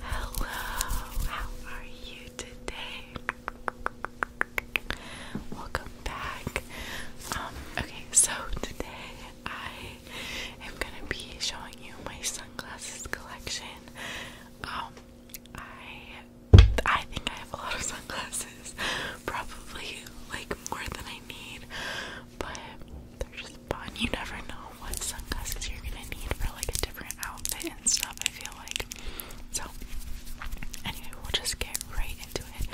Hello, how are you today? Welcome back. Um, okay, so today I am gonna be showing you my sunglasses collection. Um, I I think I have a lot of sunglasses, probably like more than I need, but just fun. You never know what sunglasses you're gonna need for like a different outfit and stuff, I feel like. So anyway, we'll just get right into it.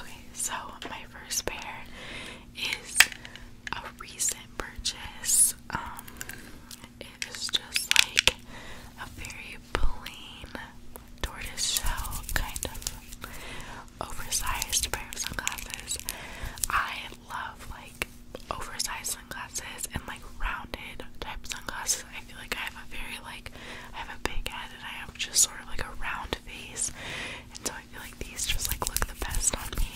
Okay, so my first pair is a recent purchase. Um it is just like a very plain tortoiseshell kind of oversized pair of sunglasses. I love like oversized sunglasses and like rounded type sunglasses. I feel like I have a very like I have a big head and I have just sort of like a round face, and so I feel like these just like look the best on me.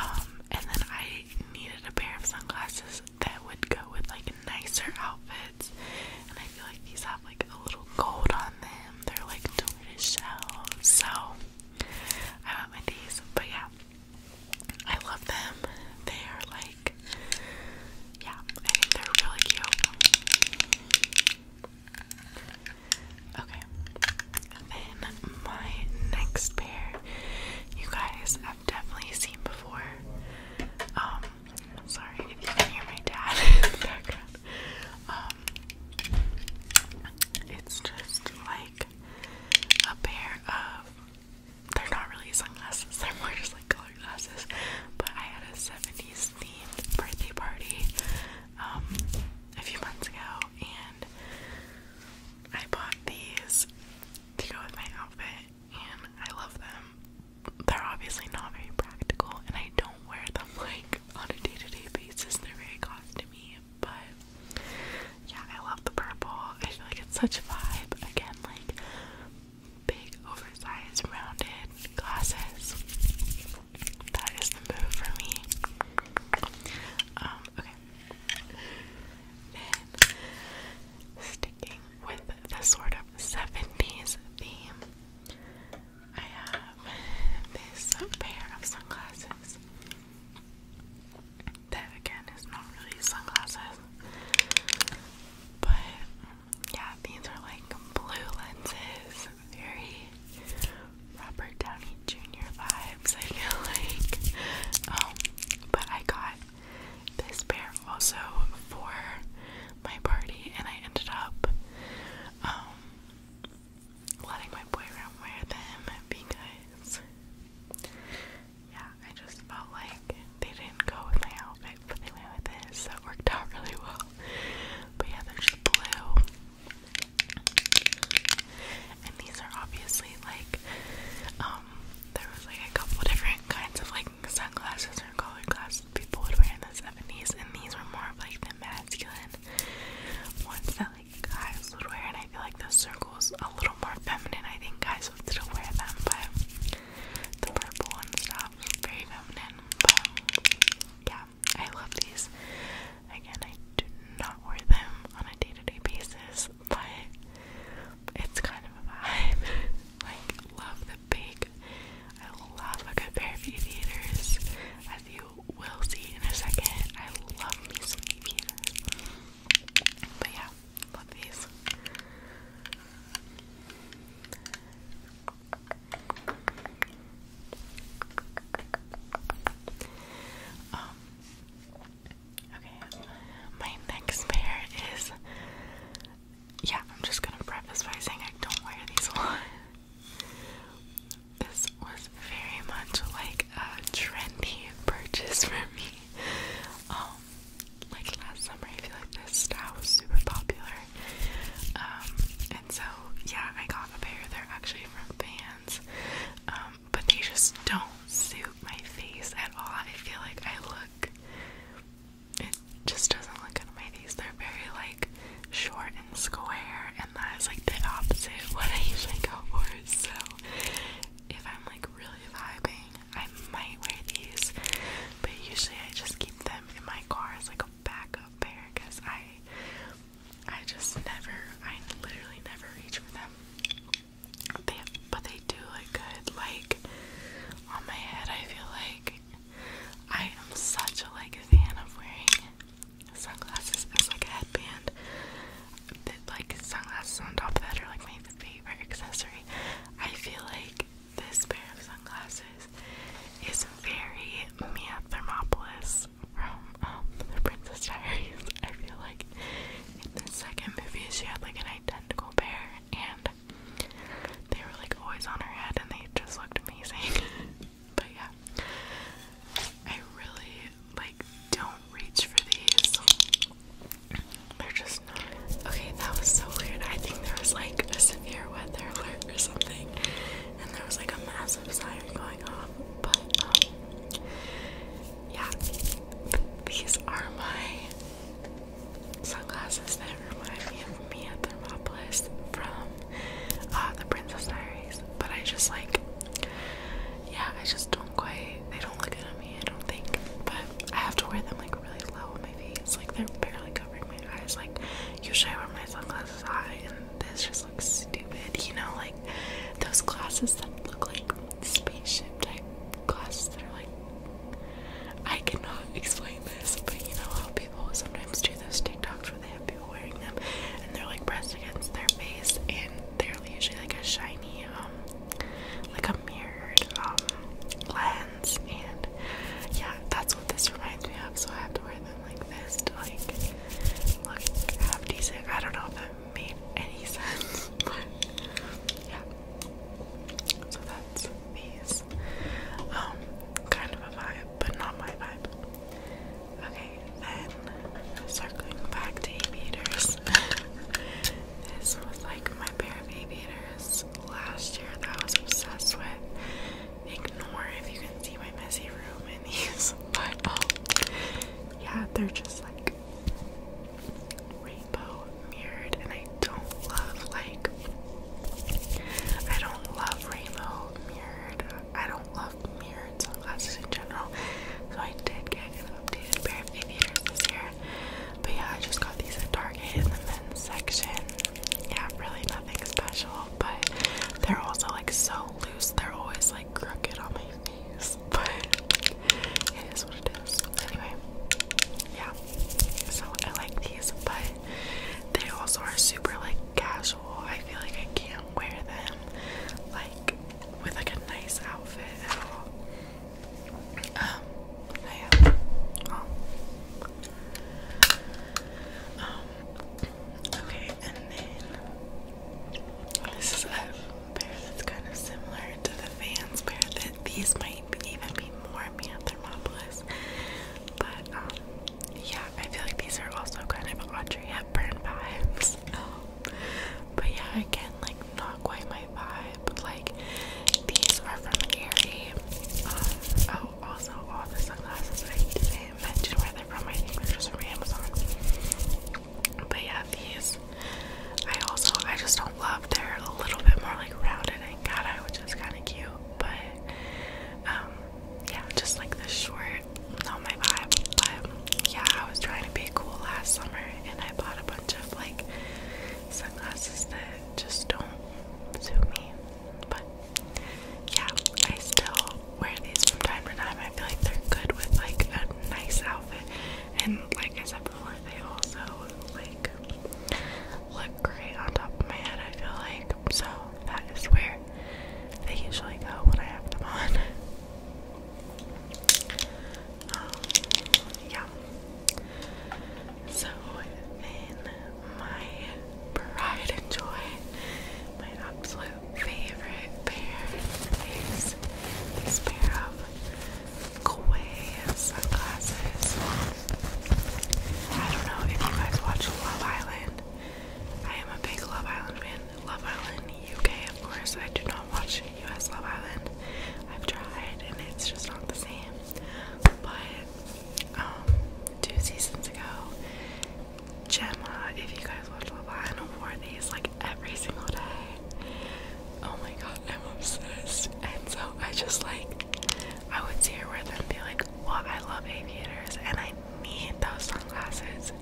Um, and then I needed a pair of sunglasses that would go with like nicer outfits, and I feel like these have like a little gold on them. They're like delicious shells. So I went with these, but yeah, I love them. They are like, yeah, I think they're really cute. Okay, then my next pair, you guys have definitely seen before. Um, sorry if you can hear my dad Um, it's just like a pair of. They're not really sunglasses, they're more just like colored glasses. But I had a 70s themed birthday party um, a few months ago, and I bought these to go with my outfit, and I love them. They're obviously not very practical, and I don't wear them like on a day-to-day basis. They're very costly but yeah, I love the purple. I feel like it's such a vibe. Again, like big, oversized, rounded glasses. That is the move for me. Um, okay. sticking with the sort of 70s theme. I have this pair of sunglasses that again is not really sunglasses, but yeah, these are like blue lenses, very Robert Downey Jr. vibes. I feel like, um, but I got this pair also for my party, and I ended up um, letting my boyfriend wear them because, yeah, I just felt like they didn't go with my outfit, but they went with this, so it worked out really well. But yeah, they're just blue. And these are obviously like, um, there was like a couple different kinds of like like sunglasses or colored glasses people would wear in the 70s, and these were more of like the masculine ones that like guys would wear. And I feel like the circles a little more feminine. I think guys would still wear them, but the purple one stuff very feminine. But yeah, I love these. Again, I do not wear them on a day to day basis, but it's kind of a vibe. like, love the big I love a good pair of aviators, as you will see in a second. I love me some aviators. But yeah, love these. Um, okay, my next pair is yeah, I'm just gonna preface by saying I don't wear these a lot. This was very much like a trendy purchase for me. Um, like last summer, I feel like this style was super popular. Um, and so yeah, I got a pair. They're actually from Vans, um, but they just don't suit my face at all. I feel like I look it just doesn't look good on my face. They're very like short and square, and that is like the opposite of what I usually go for. So if I'm like really vibing, I might wear these, but usually I just keep them in my car as like a backup pair because I I just never I literally never reach for them. They, but they do look good. Like on my head, I feel like I am such a like fan of wearing sunglasses as like a headband. like sunglasses on top of that are like my favorite accessory. I feel like this pair of sunglasses is very Mia Thermopolis from um, The Princess Diaries. I feel like in the second movie she had like an tentacle bear, and they were like always on her head, and they just looked amazing. but yeah, I really like don't reach for these. They're just not. Okay, that was so weird. I think there was like a severe weather alert or something, and there was like a massive siren going off. But um, yeah, these are my sunglasses that remind me of Mia Thermopolis from uh, The Princess Diaries. But I just like, yeah, I just don't quite, they don't look good on me, I don't think. But I have to wear them like really low on my face, like they're barely covering my eyes. Like, usually I wear my sunglasses high, and this just looks stupid, you know, like those glasses that look like spaceship type glasses that are like I cannot explain this, but you know how people sometimes do those TikToks where they have people wearing them and they're like pressed against their face and they're usually like a shiny um like a mirrored um lens and yeah that's what this reminds me of so I have to wear them like this to like look half decent. I don't know made any sense, yeah. So that's these. Um, kind of a vibe, but not my vibe. Okay, then circling back to aviators. this was like my pair of aviators last year that I was obsessed with. Ignore if you can see my messy room in these, but um, yeah, they're just like rainbow mirrored, and I don't love like I don't love rainbow mirrored. I don't love mirrored sunglasses in general. So I did get an updated pair of aviators this year. But yeah, I just got these at Target in the men's section. Yeah, really nothing special, but they're also like so loose. They're always like crooked on me your knees, but it is what it is. Anyway, yeah. So I like these, but they also are super like casual. I feel like I can't wear them like with like a nice outfit at all. Um, I have oh. um okay, and then this is a pair that's kind of similar to the Vans pair. That these might even be more Mianthromopolis, but um, yeah, I feel like these are also kind of Audrey Hepburn vibes. Um, but yeah, again, like not quite my vibe. Like these are from Aerie. Uh, oh, also all the sunglasses I need didn't where they're from. I think they're just from Amazon. But yeah, these. I also I just don't love. They're a little bit more like rounded and cut which is kind of cute. But um, yeah, just like this short, not my vibe. But yeah, I was trying to be cool last summer, and I bought a bunch of like sunglasses that just don't suit me. But yeah, I still wear these from time to time. I feel like they're good with like a nice outfit. And like I said before, they also like look great on top of my head, I feel like. So that is where they usually go when I have them on. Um, yeah. So then my pride and joy, my absolute favorite pair is this pair of Gwei sunglasses. I don't know if you guys watch Love Island. I am a big Love Island fan. Love Island UK, of course. I do not watch US Love Island. I've tried and it's just not the same. But um, two seasons ago, Gemma, if you guys watch Levine, wore these like every single day. Oh my god, I'm obsessed. And so I just like, I would see her wear them be like, well, I love aviators and I need those sunglasses.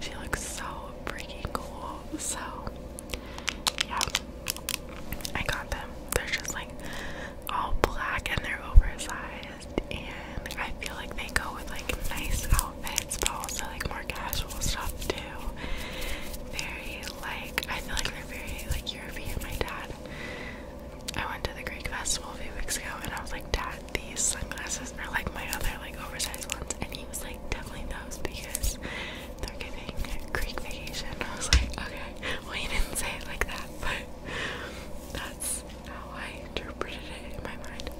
She looks so freaking cool. So, yeah, I got them. They're just like all black and they're oversized and I feel like they go with like nice outfits but also like more casual stuff too. Very like I feel like they're very like European. My dad I went to the Greek festival a few weeks ago and I was like, Dad, these sunglasses are like my other like oversized ones and he was like definitely those because they're giving Greek vacation. I was like, okay. Well you didn't say it like that, but that's how I interpreted it in my mind.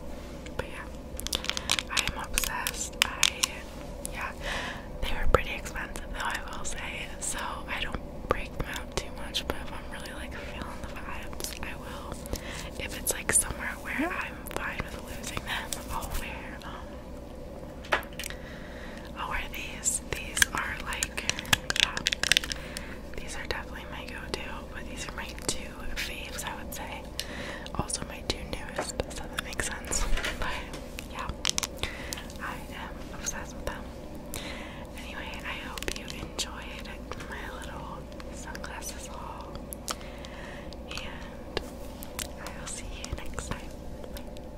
But yeah, I am obsessed. I, yeah, they were pretty expensive though, I will say. So I don't break them out too much, but if I'm really like feeling the vibes, I will. If it's like somewhere where I'm fine with losing them, I'll wear um, Oh, are these? These are like, yeah, these are definitely my go-to, but these are my two faves, I would say. Also my two newest, so that makes sense. But yeah, I am obsessed with them. Anyway, I hope you enjoyed my little sunglasses haul, and I will see you next time.